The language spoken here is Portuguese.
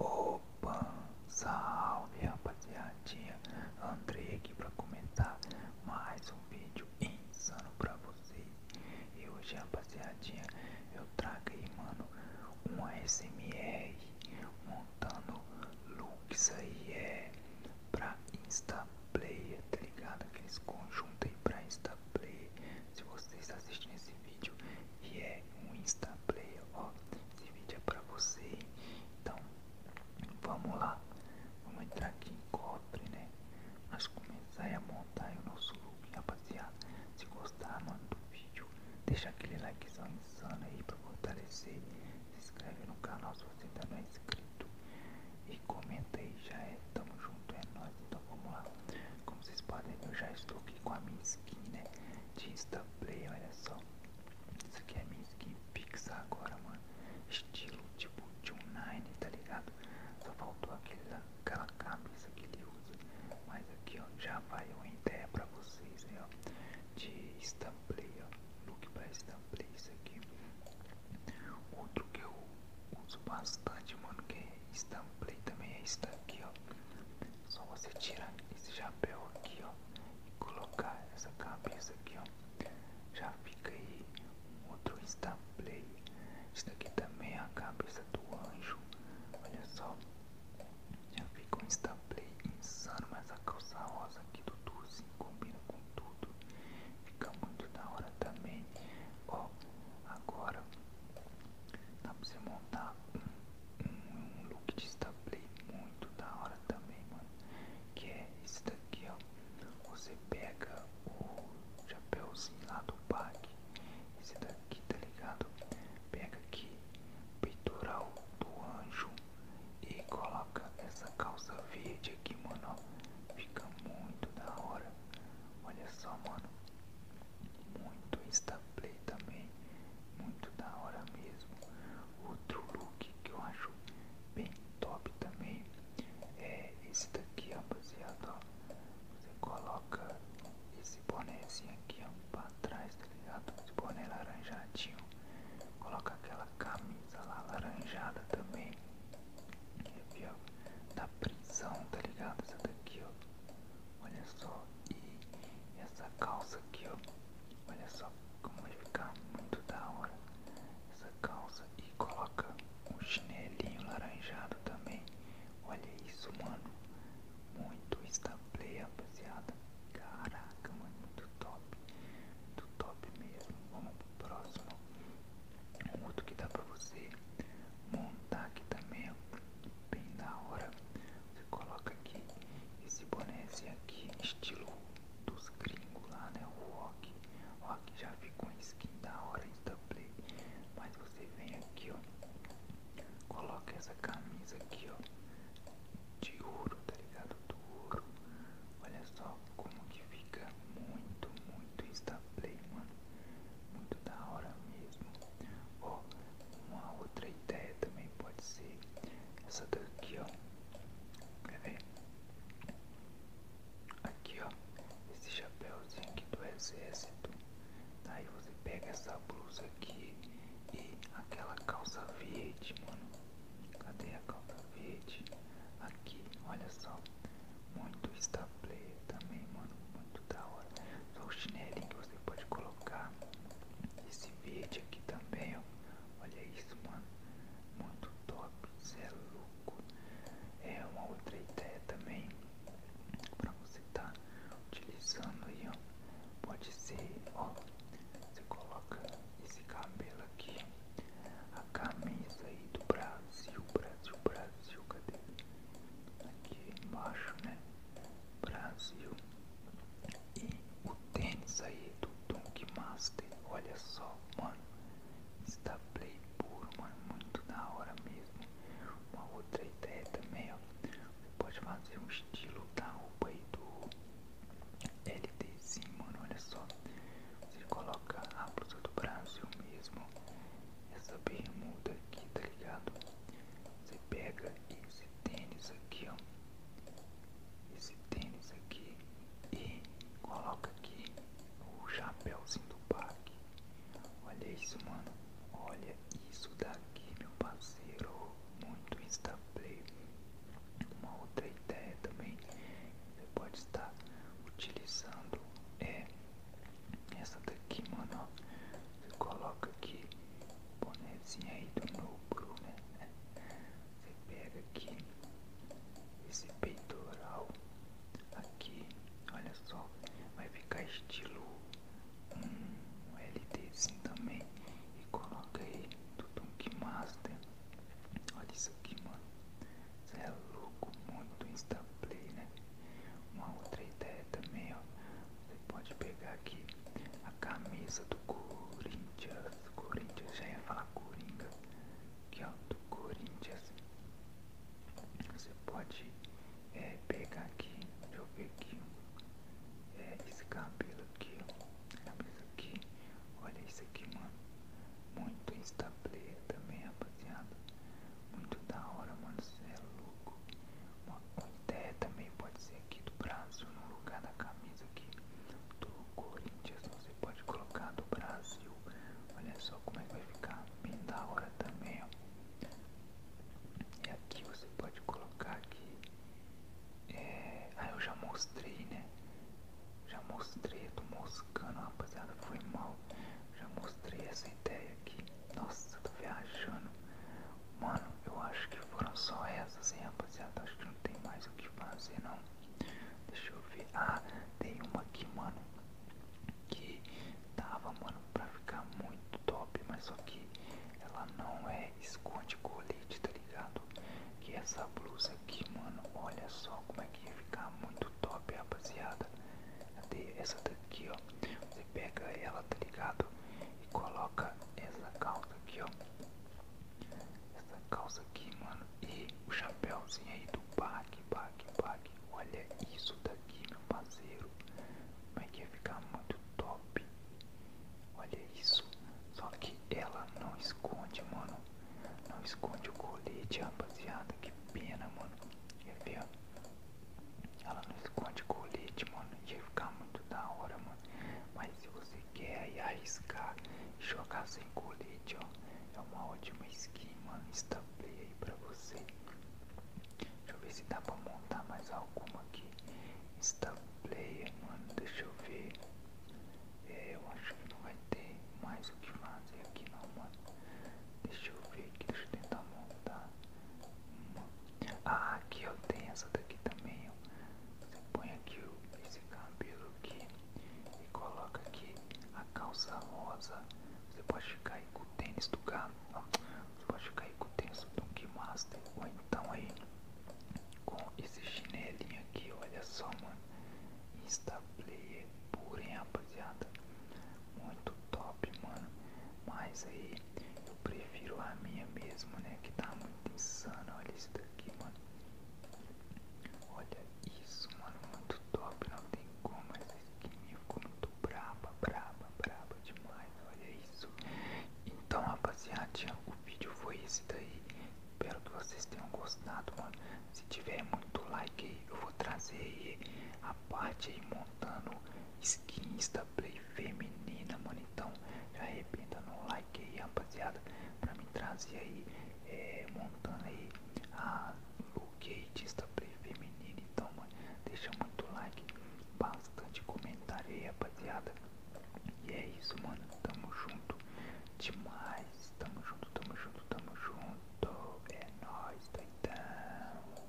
Opa, salve rapaziadinha, Andrei aqui para comentar mais um vídeo insano para vocês. E hoje rapaziadinha, eu trago aí mano, uma SMR montando looks aí é pra Insta Player, tá ligado? Aqueles conjuntos aí pra Insta Player. Se você está assistindo esse vídeo e é um Insta Player, ó. Esse vídeo é pra você, então vamos lá. Vamos entrar aqui em cofre, né? Nós começar a montar o nosso look, rapaziada. Se gostar, mano, do vídeo, deixa aquele likezão insano aí pra fortalecer. Se inscreve no canal se você ainda não é inscrito. E comenta aí, já é, tamo junto, é nós Então vamos lá. Como vocês podem eu já estou aqui com a minha skin, né? de Instaplay, olha só. Isso aqui é minha skin Pixar agora, mano. Estilo tipo Nine, tá ligado? Só faltou aquele, aquela cabeça que ele usa. Mas aqui, ó, já vai uma ideia pra vocês aí, ó. De Instaplay, ó. Look pra Instaplay, isso aqui. Outro que eu uso bastante, mano, que é Instaplay também é isso aqui ó. Só você tira esse chapéu aqui, ó, e colocar essa cabeça aqui, ó. Já fica aí outro insta play. Isso daqui também é a cabeça do anjo. Olha só. Já fica um insta play insano, mas a calça rosa aqui do Tuzi combina com tudo. Fica muito da hora também. Ó, agora dá pra você montar um um look de Stapley muito da hora também, mano. Que é esse daqui, ó. Você pega o chapéuzinho lá do pack. Esse daqui, tá ligado? Pega aqui, peitoral do anjo. E coloca essa calça verde aqui, mano. Ó. Fica muito da hora. Olha só, mano muito instaplay também, muito da hora mesmo. Outro look que eu acho bem top também é esse daqui, rapaziada. Ó. Você coloca esse bonézinho aqui ó, pra trás, tá ligado? Esse boné laranjadinho. Coloca aquela camisa lá laranjada também. Aqui ó, da prisão, tá ligado? Essa daqui ó. Olha só, e essa calça aqui, ó. Olha só como vai ficar muito da hora essa calça. E coloca um chinelinho laranjado também. Olha isso, mano. Muito instable, rapaziada. Caraca, mano, muito top. Muito top mesmo. Vamos pro próximo. Um outro que dá pra você montar aqui também, bem da hora. Você coloca aqui esse bonézinho aqui, estilo dos gringos lá, né? O rock. rock já ficou um skin da hora insta play. Mas você vem aqui, ó. Coloca essa camisa aqui, ó. De ouro, tá ligado? Do ouro. Olha só como que fica muito, muito insta play, mano. Muito da hora mesmo. Ó, uma outra ideia também pode ser essa daqui, ó. Quer ver? Aqui, ó. Esse chapéuzinho aqui do exército. Aí você pega essa blusa aqui e aquela calça verde, mano. Cadê a calça verde? Aqui, olha só. Muito está também, mano. Muito da hora. Só o chinelinho que você pode colocar esse verde aqui também, ó. Olha isso, mano. Muito top. Você é louco. É uma outra ideia também pra você tá utilizando aí, ó. Pode ser, ó. Você coloca esse cabelo aqui, a camisa aí do Brasil, Brasil, Brasil, cadê? Aqui embaixo, né? Brasil. E o tênis aí do Donkey Master, olha só, mano. Está play puro, mano, muito da hora mesmo. Uma outra ideia também, ó. Você pode fazer um estilo da roupa aí do Sim, mano, olha só. Você coloca a blusa do Brasil mesmo. Essa bermuda aqui, tá ligado? Você pega e você tênis aqui, ó. Esse tênis aqui. E coloca aqui o chapéuzinho do parque. Olha isso, mano. Olha isso daqui, meu parceiro. Muito insta play Uma outra ideia também. Você pode estar utilizando é essa daqui, mano coloca aqui o bonezinho aí do novo Bruno, né? Você pega aqui esse peitoral aqui, olha só, vai ficar estilo um LT assim também e coloca aí do Tunk Master. Olha isso aqui, mano. Você é louco, muito Instaplay, né? Uma outra ideia também, ó. Você pode pegar aqui a camisa do Corinthians. Corinthians, já ia falar Coringa. que ó, do Corinthians. Você pode é, pegar aqui, deixa eu ver aqui. É, esse cabelo aqui, Camisa aqui. Olha isso aqui, mano. Muito instable também, rapaziada. Muito da hora, mano. Você é louco. Uma ideia também pode ser aqui do Brasil, no lugar da camisa aqui do Corinthians, você pode colocar do Brasil. Olha só como é que vai ficar, bem da hora também, ó. E aqui você pode colocar aqui. É... Ah, eu já mostrei, né? Já mostrei, eu tô moscando, rapaziada, foi mal. Já mostrei essa ideia aqui. Nossa, tô viajando. Mano, eu acho que foram só essas, hein, rapaziada. Acho que não tem mais o que fazer, não. Deixa eu ver. Ah, tem uma aqui, mano. Que dava, mano, pra ficar muito top. Mas só que ela não é esconde-colete, tá ligado? Que é essa blusa aqui, mano. Olha só como é que ia ficar muito top, rapaziada. Cadê essa daqui, ó? Você pega ela, tá ligado? e coloca essa calça aqui, ó. Essa calça aqui, mano. E o chapéuzinho aí do Pac, Pac, Pac. Olha isso daqui, meu parceiro. é que ia ficar muito top. Olha isso. Só que ela não esconde, mano. Não esconde o colete, rapaziada. Que pena, mano. Quer ver, ó. Ela não esconde colete, mano. Ia ficar muito da hora, mano. Mas se você quer aí arriscar e jogar sem colete, ó. É uma ótima skin, mano. play aí pra você. Deixa eu ver se dá pra montar mais alguma aqui. play mano. Deixa eu ver. É, eu acho que não vai ter mais o que fazer aqui não, mano. Deixa eu ver aqui, deixa eu tentar montar. Ah, aqui eu tenho essa daqui também. Você põe aqui esse cabelo aqui e coloca aqui a calça rosa. Você pode ficar aí com o tênis do carro. Você pode ficar aí com o tênis do Donkey Master. Ou então aí com esse chinelinho aqui. Olha só, mano. Insta player puro, rapaziada. Muito top, mano. Mas aí eu prefiro a minha mesmo, né? Que tá muito insano Olha isso daqui, mano. Olha isso, mano. Muito top. Não tem como. Essa skin me ficou muito braba, braba, braba demais. Olha isso. Então, rapaziada, o vídeo foi esse daí. Espero que vocês tenham gostado, mano. Se tiver muito like eu vou trazer aí a parte aí, mano montando skins da play feminina, mano. Então já arrependa no like aí, rapaziada, pra me trazer aí, é, montando aí a Lugates da play feminina. Então, mano, deixa muito like, bastante comentário aí, rapaziada. E é isso, mano. Tamo junto demais. Tamo junto, tamo junto, tamo junto. É nóis, doidão.